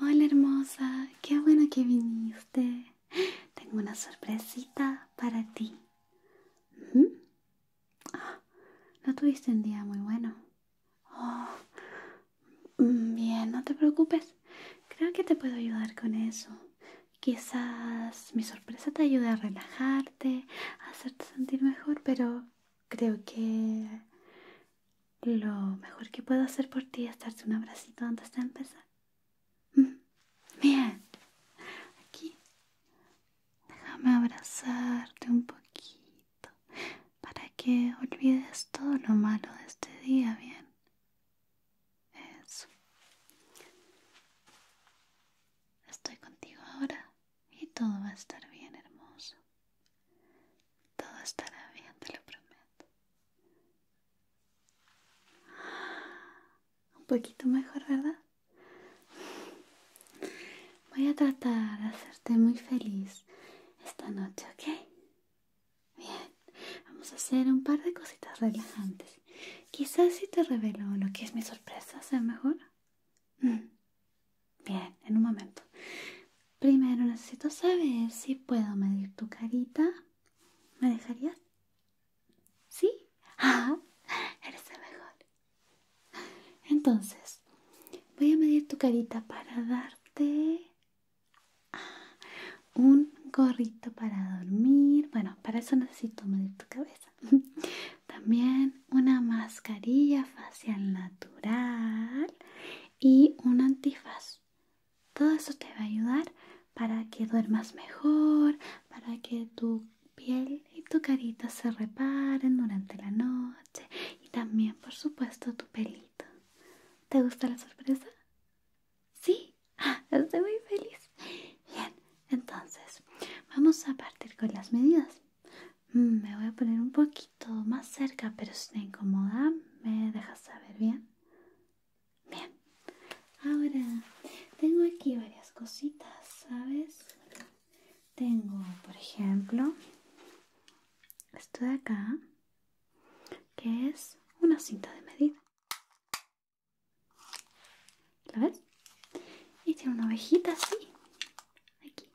Hola hermosa, qué bueno que viniste. Tengo una sorpresita para ti. Ah, no tuviste un día muy bueno. Oh, mm, bien, no te preocupes. Creo que te puedo ayudar con eso. Quizás mi sorpresa te ayude a relajarte, a hacerte sentir mejor, pero creo que lo mejor que puedo hacer por ti es darte un abracito antes de empezar. Bien, aquí. Déjame abrazarte un poquito para que olvides todo lo malo de este día, ¿bien? Eso. Estoy contigo ahora y todo va a estar bien, hermoso. Todo estará bien, te lo prometo. Un poquito mejor, ¿verdad? Voy a tratar de hacerte muy feliz esta noche, ¿ok? Bien, vamos a hacer un par de cositas relajantes. Quizás si te revelo lo que es mi sorpresa sea mejor. Mm. Bien, en un momento. Primero necesito saber si puedo medir tu carita. ¿Me dejarías? ¿Sí? Ah, eres el mejor. Entonces, voy a medir tu carita para darte ah, un gorrito para dormir. Bueno, para eso necesito medir tu cabeza. También una mascarilla facial natural y un antifaz. Todo eso te va a ayudar para que duermas mejor, para que tu piel y tu carita se reparen durante la noche y también, por supuesto, tu pelito. ¿Te gusta la sorpresa? Sí, ah, estoy muy feliz. Bien, entonces vamos a partir con las medidas. Mm, me voy a poner un poquito más cerca, pero si te incomoda, me dejas saber, ¿bien? Bien. Ahora, tengo aquí varias cositas, ¿sabes? Tengo, por ejemplo, esto de acá, que es una cinta de medida. ¿La ves? Y tiene una ovejita así aquí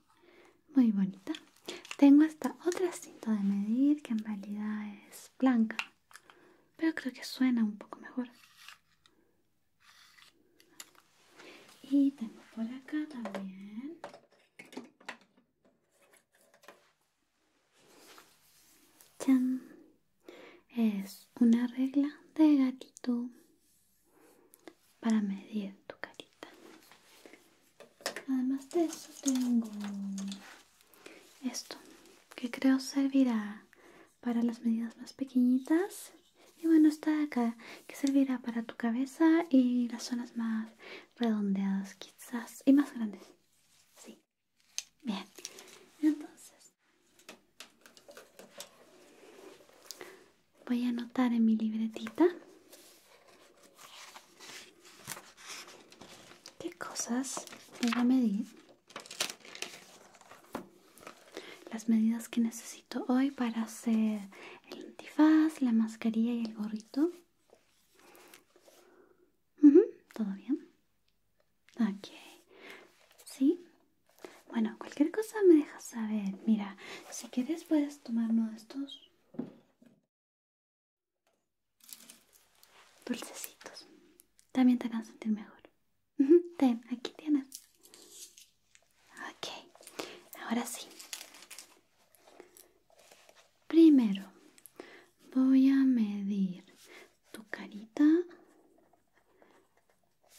muy bonita tengo esta otra cinta de medir que en realidad es blanca pero creo que suena un poco mejor y tengo por acá también es una regla de gatito para medir tu carita. Además de eso tengo esto que creo servirá para las medidas más pequeñitas y bueno está acá que servirá para tu cabeza y las zonas más redondeadas quizás y más grandes. Sí. Bien. Entonces voy a anotar en mi libretita qué cosas voy a medir, las medidas que necesito hoy para hacer el antifaz, la mascarilla y el gorrito. ¿Todo bien? Ok. ¿Sí? Bueno, cualquier cosa me dejas saber. Mira, si quieres puedes tomar uno de estos? Dulcecitos. También te a sentir mejor. Ten, aquí tienes. Ok, ahora sí. Primero voy a medir tu carita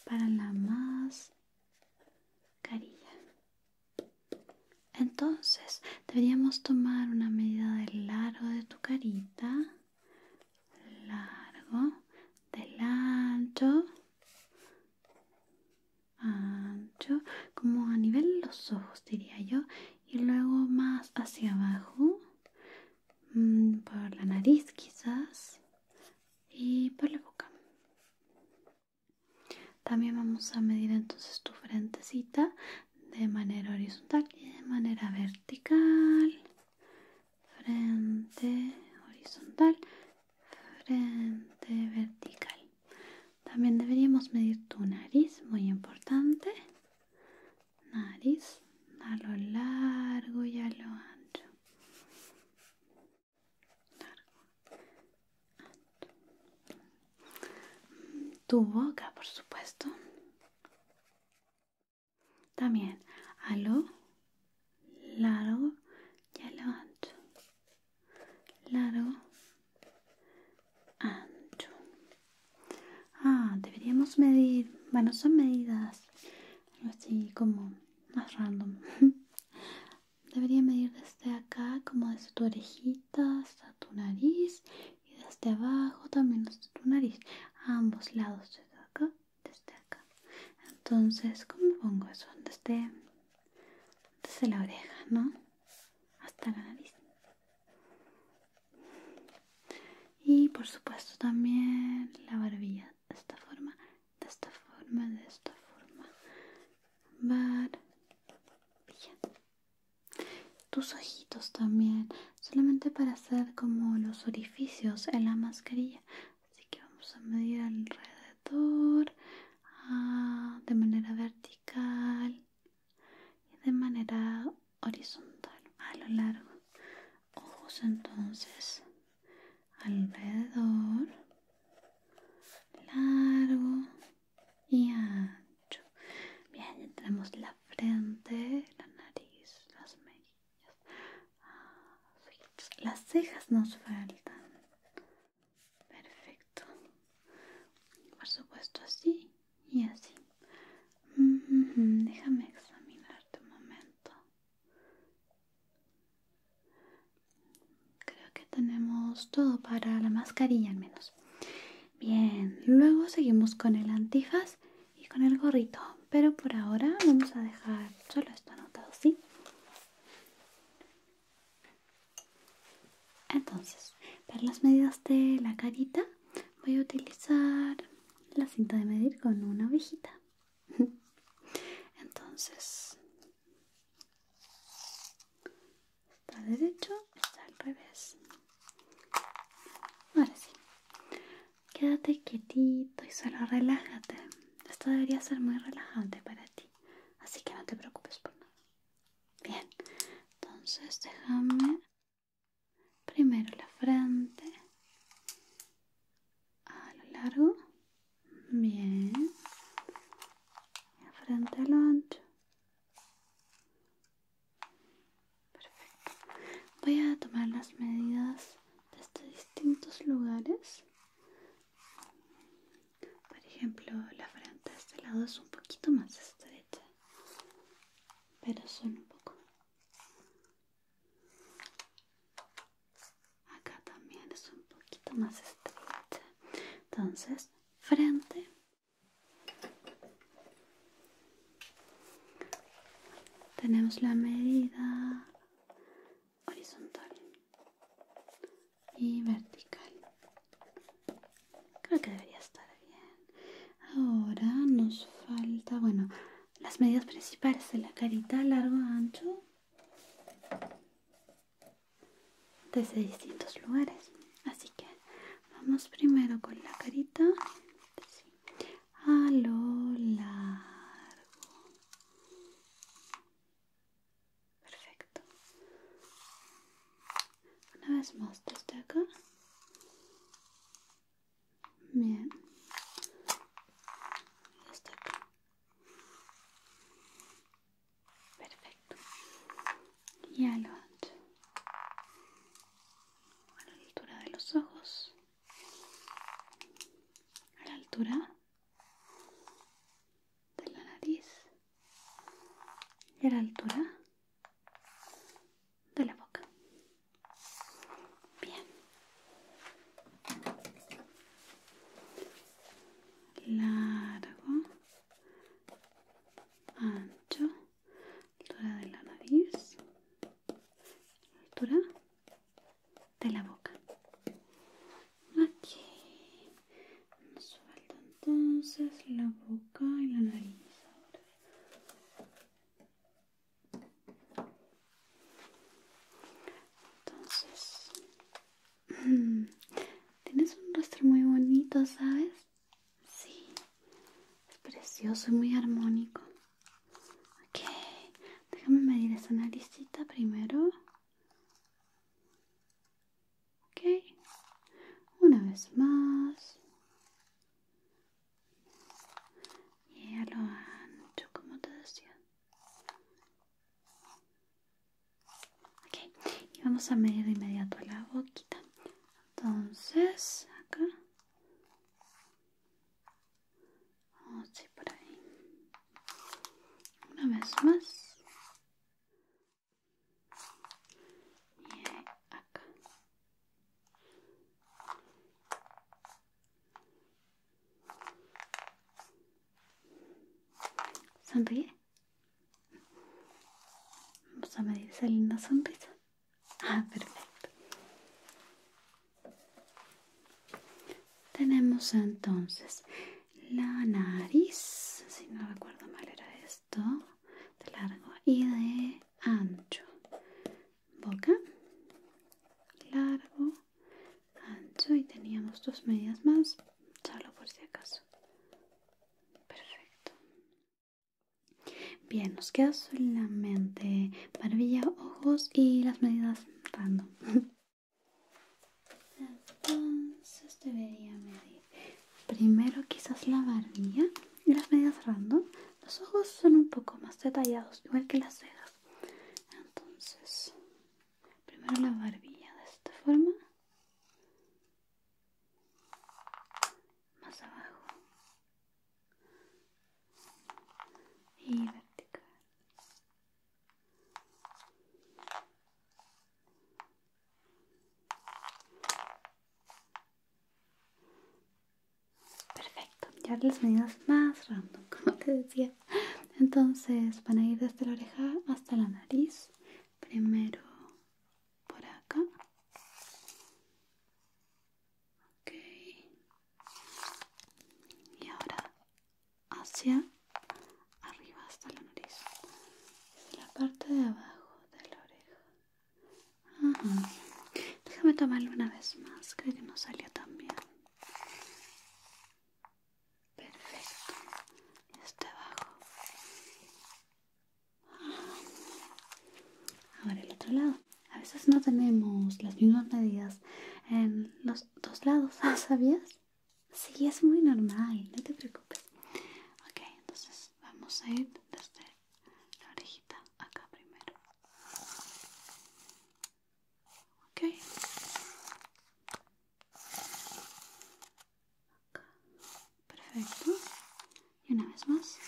para la más carilla. Entonces deberíamos tomar una medida del largo de tu carita, largo, del ancho, ancho, como a nivel de los ojos diría yo, y luego más hacia abajo, mm, por la nariz quizás, y por la boca. También vamos a medir entonces tu frentecita de manera horizontal y de manera vertical. Frente horizontal, frente vertical. También deberíamos medir tu nariz, muy importante. Nariz a lo largo y a lo ancho largo. Tu boca, por supuesto. También a largo y a ancho. Largo, ancho. Ah, deberíamos medir. Bueno, son medidas así como más random. Debería medir desde acá, como desde tu orejita hasta tu nariz y desde abajo también hasta tu nariz, ambos lados, desde acá, desde acá. Entonces, ¿cómo pongo eso? Desde, desde la oreja, ¿no? Hasta la nariz. Y por supuesto también la barbilla de esta forma, de esta forma, de esta forma. Tus ojitos también, solamente para hacer como los orificios en la mascarilla. Así que vamos a medir alrededor ah, de manera vertical y de manera horizontal a lo largo. Ojos entonces alrededor largo y ancho bien ya tenemos la frente la nariz las mejillas ah, las cejas nos faltan perfecto por supuesto así y así mm, mm, mm, déjame examinarte un momento Creo que tenemos todo para la mascarilla al menos. Bien, luego seguimos con el antifaz y con el gorrito, pero por ahora vamos a dejar solo esto anotado, ¿sí? Entonces, para las medidas de la carita voy a utilizar la cinta de medir con una ovejita. Entonces, está derecho, está al revés. Ahora sí. Quédate quietito y solo relájate. Esto debería ser muy relajante para ti, así que no te preocupes por nada. Bien, entonces déjame primero la frente a lo largo, bien, la frente a lo ancho, perfecto. Voy a tomar las medidas estos distintos lugares. Por ejemplo, la frente de este lado es un poquito más estrecha, pero son un poco acá también es un poquito más estrecha entonces frente tenemos la medida horizontal y vertical creo que debería estar bien ahora nos falta bueno las medidas principales de la carita largo ancho desde distintos lugares. Así que vamos primero con la carita sí, a lo largo. Perfecto. Una vez más desde acá. Bien. acá. Perfecto. Y a lo la altura de los ojos. A la altura de la nariz. Y a la altura de la boca. Bien, largo, ancho, altura de la nariz, altura de la boca. Aquí nos entonces la boca y la nariz. Entonces, mm, tienes un rostro muy bonito, ¿sabes? Sí, es precioso y muy armónico. Ok, déjame medir esa naricita primero. Ok, una vez más. Y a lo ancho, como te decía. Okay. y vamos a medir de inmediato la boquita. Entonces, acá. por ahí. Una vez más. Y acá. Sonríe. Vamos a medir esa linda sonrisa. Ah, perfecto. Tenemos entonces la nariz, si no recuerdo mal era esto, de largo y de ancho. Boca, largo ancho y teníamos dos medias más, solo por si acaso. Perfecto. Bien, nos queda solamente barbilla, ojos y las medidas random. Entonces debería medir primero quizás la barbilla y las medidas random. Los ojos son un poco más detallados, igual que las cejas entonces primero la barbilla de esta forma más abajo y vertical Perfecto, ya las medidas más random, como te decía. Entonces van a ir desde la oreja hasta la nariz. Primero por acá. Y ahora hacia arriba hasta la nariz. la parte de abajo de la oreja. Déjame tomarlo una vez más. Creo que no salió tan bien. Perfecto. Este abajo. Ah. Ahora el otro lado. A veces no tenemos las mismas medidas en los dos lados, ¿sabías? Sí, es muy normal, no te preocupes. Ok, entonces vamos a ir desde la orejita acá primero. Perfecto. Y una vez más.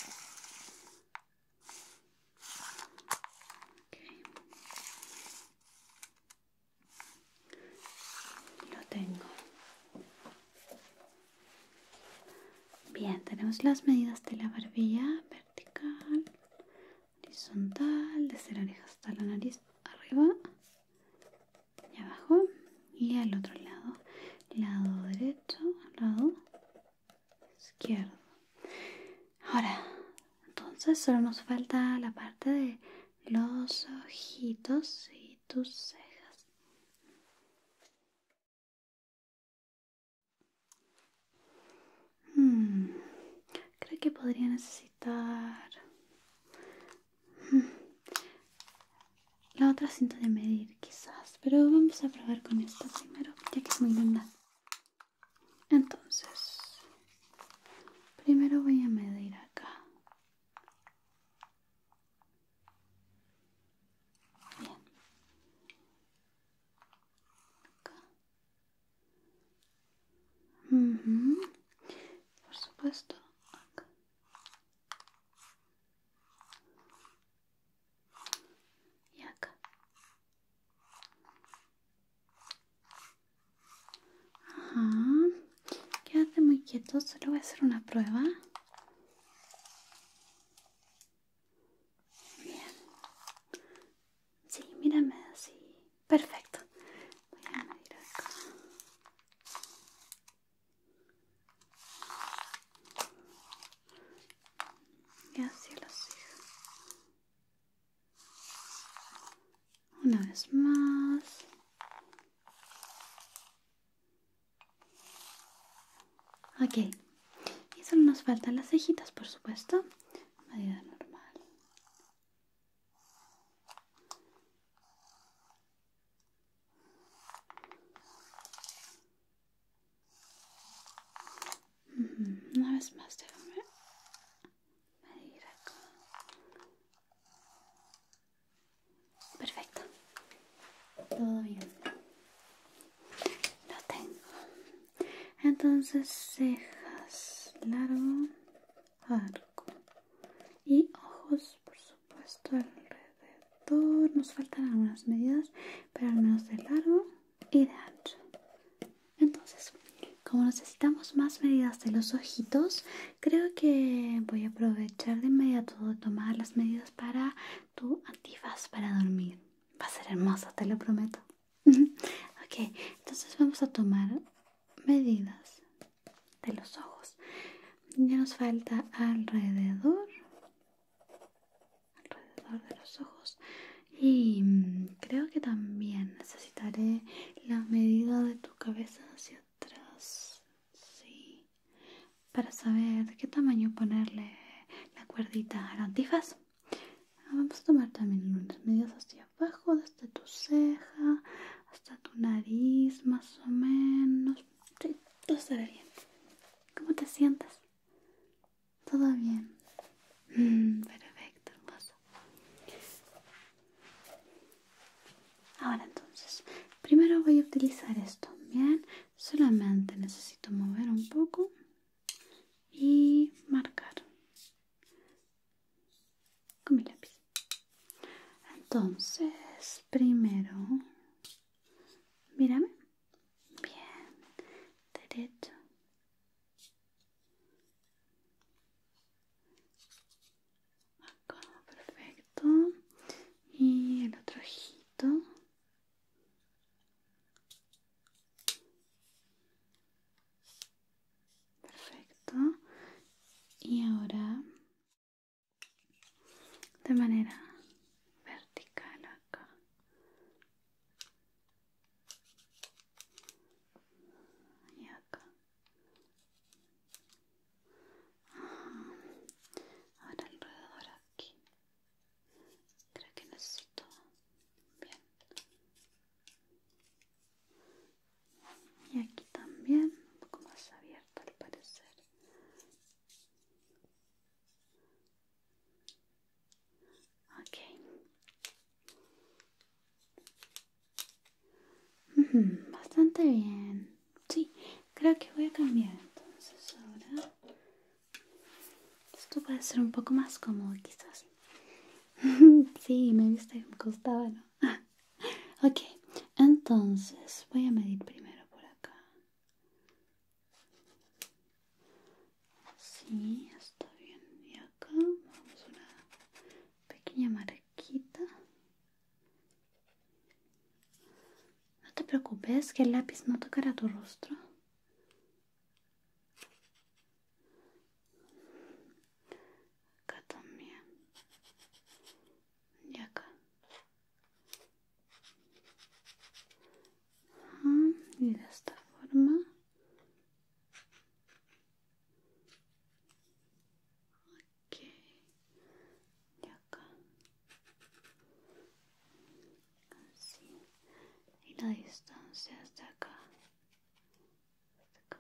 Lo tengo. Bien, tenemos las medidas de la barbilla vertical horizontal, de la oreja hasta la nariz, arriba y abajo y al otro lado, lado derecho, lado izquierdo. Ahora, entonces solo nos falta la parte de los ojitos y tus cejas. Hmm. creo que podría necesitar hmm, la otra cinta de medir quizás, pero vamos a probar con esta primero, ya que es muy linda. Entonces, primero voy a medir acá. Acá. Y Por supuesto. Y acá. Ajá. Quédate muy quieto, solo voy a hacer una prueba. Bien. Sí, mírame así. Perfecto. Voy a medir acá. Y así lo sigo. Una vez más. Okay, y solo nos faltan las cejitas, por supuesto. Medida normal. Una vez más, déjame ir acá. Perfecto. Todo bien. Lo tengo entonces cejas largo arco y ojos por supuesto alrededor nos faltan algunas medidas pero al menos de largo y de ancho entonces como necesitamos más medidas de los ojitos creo que voy a aprovechar de inmediato de tomar las medidas para tu antifaz para dormir Va a ser hermoso, te lo prometo. ok, entonces vamos a tomar medidas de los ojos. Ya nos falta alrededor, alrededor de los ojos. Y creo que también necesitaré la medida de tu cabeza hacia atrás. Sí. Para saber de qué tamaño ponerle la cuerdita al antifaz. Vamos a tomar también unos medios hacia abajo, desde tu ceja hasta tu nariz, más o menos. todo estará bien. ¿Cómo te sientes? Todo bien. Mm, perfecto, hermoso. Ahora entonces, primero voy a utilizar esto, ¿bien? Solamente necesito mover un poco y marcar con mi lápiz. Entonces, primero, mírame. Bien, derecho. perfecto. Y el otro ojito. Perfecto. Y ahora de manera vertical acá. Y acá. Ahora alrededor aquí. Creo que necesito. Bien. Y aquí también, un poco más abierto al parecer. Ok. Bastante bien. Sí, creo que voy a cambiar entonces ahora esto puede ser un poco más cómodo quizás. sí, me viste me ¿no? ok, entonces voy a medir primero por acá. Sí, está bien. Y acá vamos a una pequeña marquita. No te preocupes que el lápiz no tocará tu rostro acá también y acá ah, y de esta forma ok y acá y la distancia hasta acá, acá.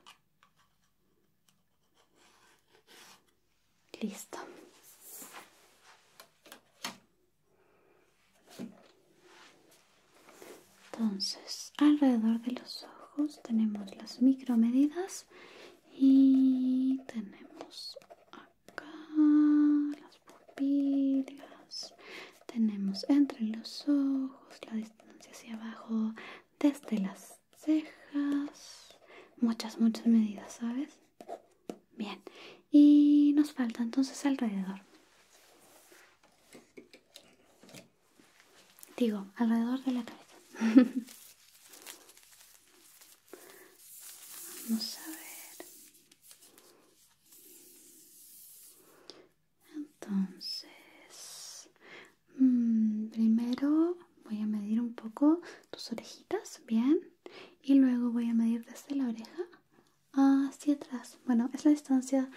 listo entonces alrededor de los ojos tenemos las micromedidas y tenemos las pupilas. Tenemos entre los ojos, la distancia hacia abajo, desde las cejas. Muchas, muchas medidas, ¿sabes? Bien. Y nos falta entonces alrededor. Digo, alrededor de la cabeza. Vamos a ver. Entonces, mm, primero voy a medir un poco tus orejitas, bien, y luego voy a medir desde la oreja hacia atrás. Bueno, es la distancia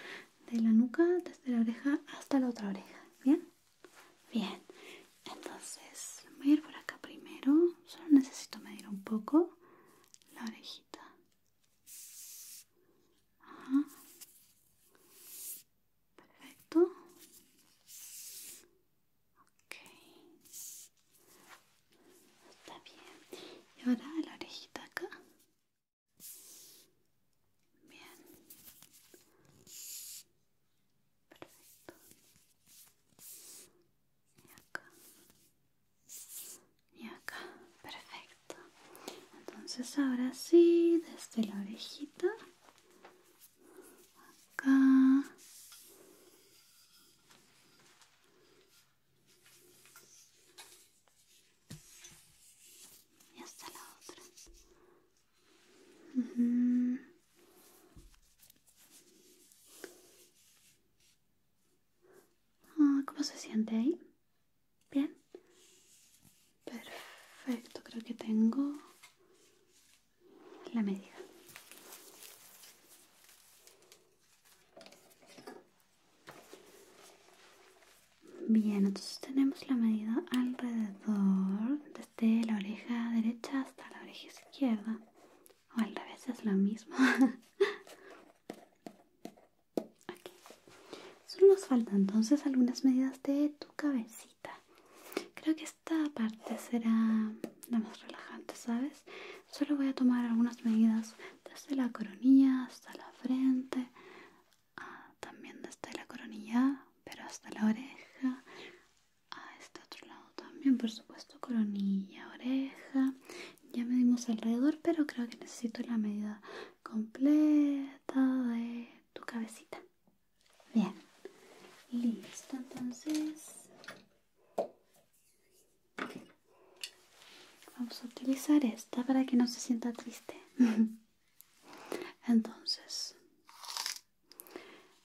de la nuca desde la oreja hasta la otra oreja, bien, bien. Entonces, voy a ir por acá primero. Solo necesito medir un poco la orejita. Perfecto. Está bien. Y ahora la orejita acá. Bien. Perfecto. Y acá y acá, perfecto. Entonces ahora sí, desde la orejita, acá. Y hasta la otra. Ah, ¿Cómo se siente ahí? Bien. Perfecto, creo que tengo la medida. Bien, entonces tenemos la medida alrededor, desde la oreja derecha hasta la oreja izquierda, o al revés es lo mismo solo nos faltan entonces algunas medidas de tu cabecita creo que esta parte será la más relajante sabes solo voy a tomar algunas medidas desde la coronilla hasta la frente ah, también desde la coronilla pero hasta la oreja a ah, este otro lado también, por supuesto, coronilla, oreja. Ya medimos alrededor, pero creo que necesito la medida completa de tu cabecita. Bien, listo. Entonces, vamos a utilizar esta para que no se sienta triste. Entonces,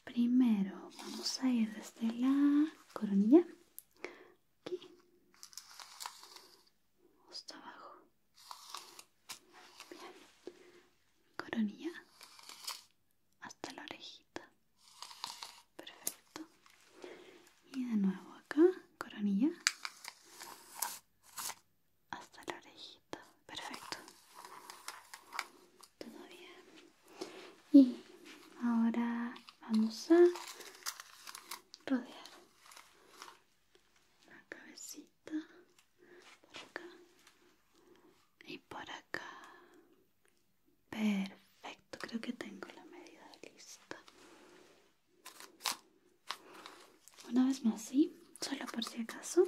primero vamos a ir desde la coronilla aquí hasta abajo bien coronilla hasta la orejita perfecto y de nuevo acá coronilla hasta la orejita perfecto todo bien y ahora vamos a rodear la cabecita por acá y por acá perfecto creo que tengo la medida lista una vez más sí solo por si acaso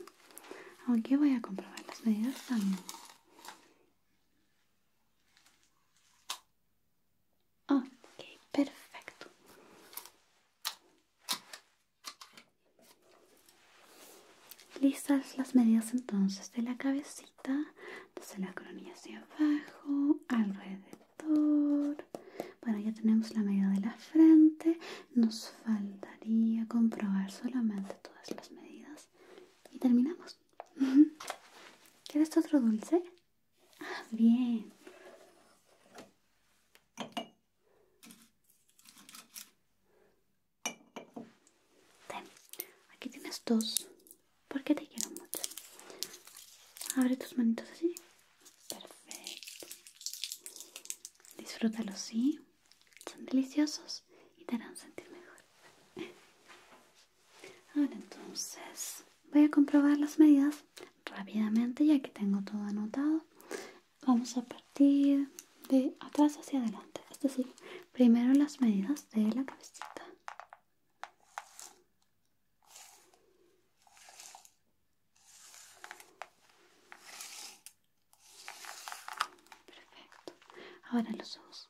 aunque voy a comprobar las medidas también Ok, perfecto. Listas las medidas entonces de la cabecita, desde la coronilla hacia abajo, alrededor. Bueno, ya tenemos la medida de la frente. Nos faltaría comprobar solamente todas las medidas y terminamos. ¿Quieres otro dulce? Ah, bien. aquí tienes dos. Porque te quiero mucho. Abre tus manitos así. Perfecto. Disfrútalo, sí son deliciosos y te harán sentir mejor. Ahora entonces voy a comprobar las medidas rápidamente ya que tengo todo anotado. Vamos a partir de atrás hacia adelante, es decir, primero las medidas de la cabecita. Perfecto. Ahora los ojos.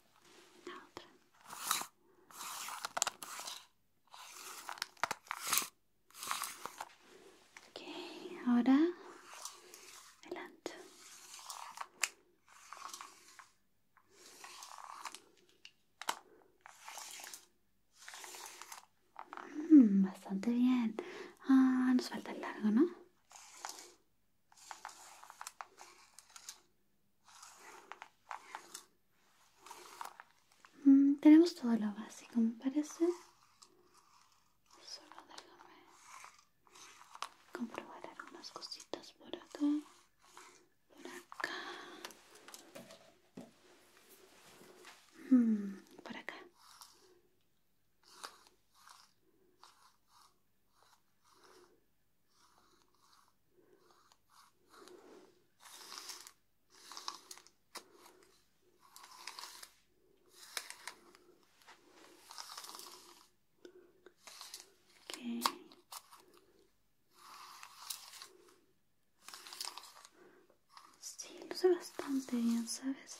otra ok ahora adelante mmm, bastante bien ah, nos falta el largo no Mm, tenemos todo lo básico, me parece. Solo déjame comprobar algunas cositas por acá. Por acá. Mm, por acá. Okay. Sí, luce bastante bien, ¿sabes?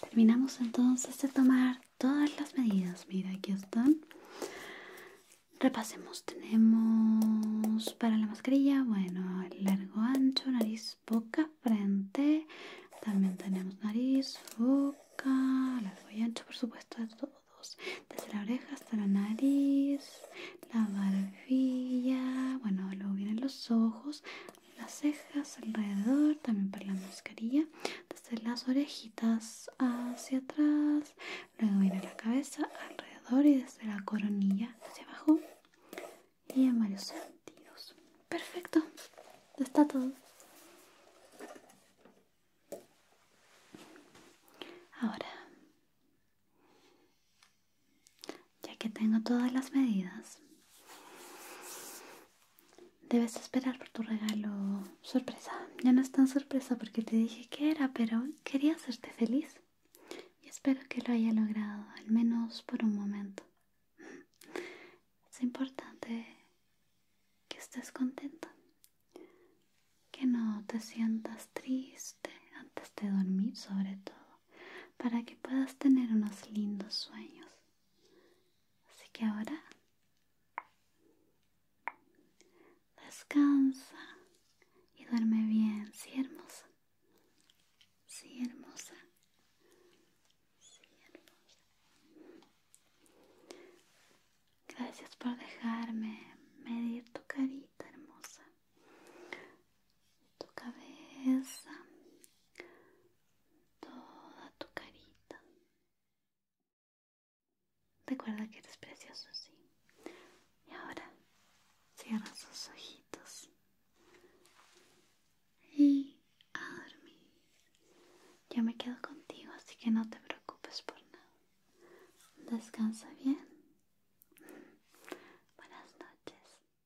Terminamos entonces de tomar todas las medidas. Mira, aquí están. Repasemos. Tenemos para la mascarilla, bueno, largo, ancho, nariz, boca, frente. También tenemos nariz, boca, largo y ancho, por supuesto, de todos. Desde la oreja hasta la nariz la barbilla, bueno, luego vienen los ojos, las cejas alrededor, también para la mascarilla, desde las orejitas hacia atrás, luego viene la cabeza alrededor y desde la coronilla hacia abajo y en varios sentidos. Perfecto, está todo. Ahora ya que tengo todas las medidas, debes esperar por tu regalo sorpresa. Ya no es tan sorpresa porque te dije que era, pero quería hacerte feliz. Y espero que lo haya logrado, al menos por un momento. Es importante que estés contento, que no te sientas triste antes de dormir sobre todo para que puedas tener unos lindos sueños. Así que ahora descansa y duerme bien, sí hermosa, sí hermosa, sí hermosa. Gracias por dejarme medir tu carita hermosa tu cabeza, toda tu carita. Recuerda que eres precioso, sí. Y ahora cierra sus ojitos y a dormir. Yo me quedo contigo, así que no te preocupes por nada. Descansa bien. Buenas noches.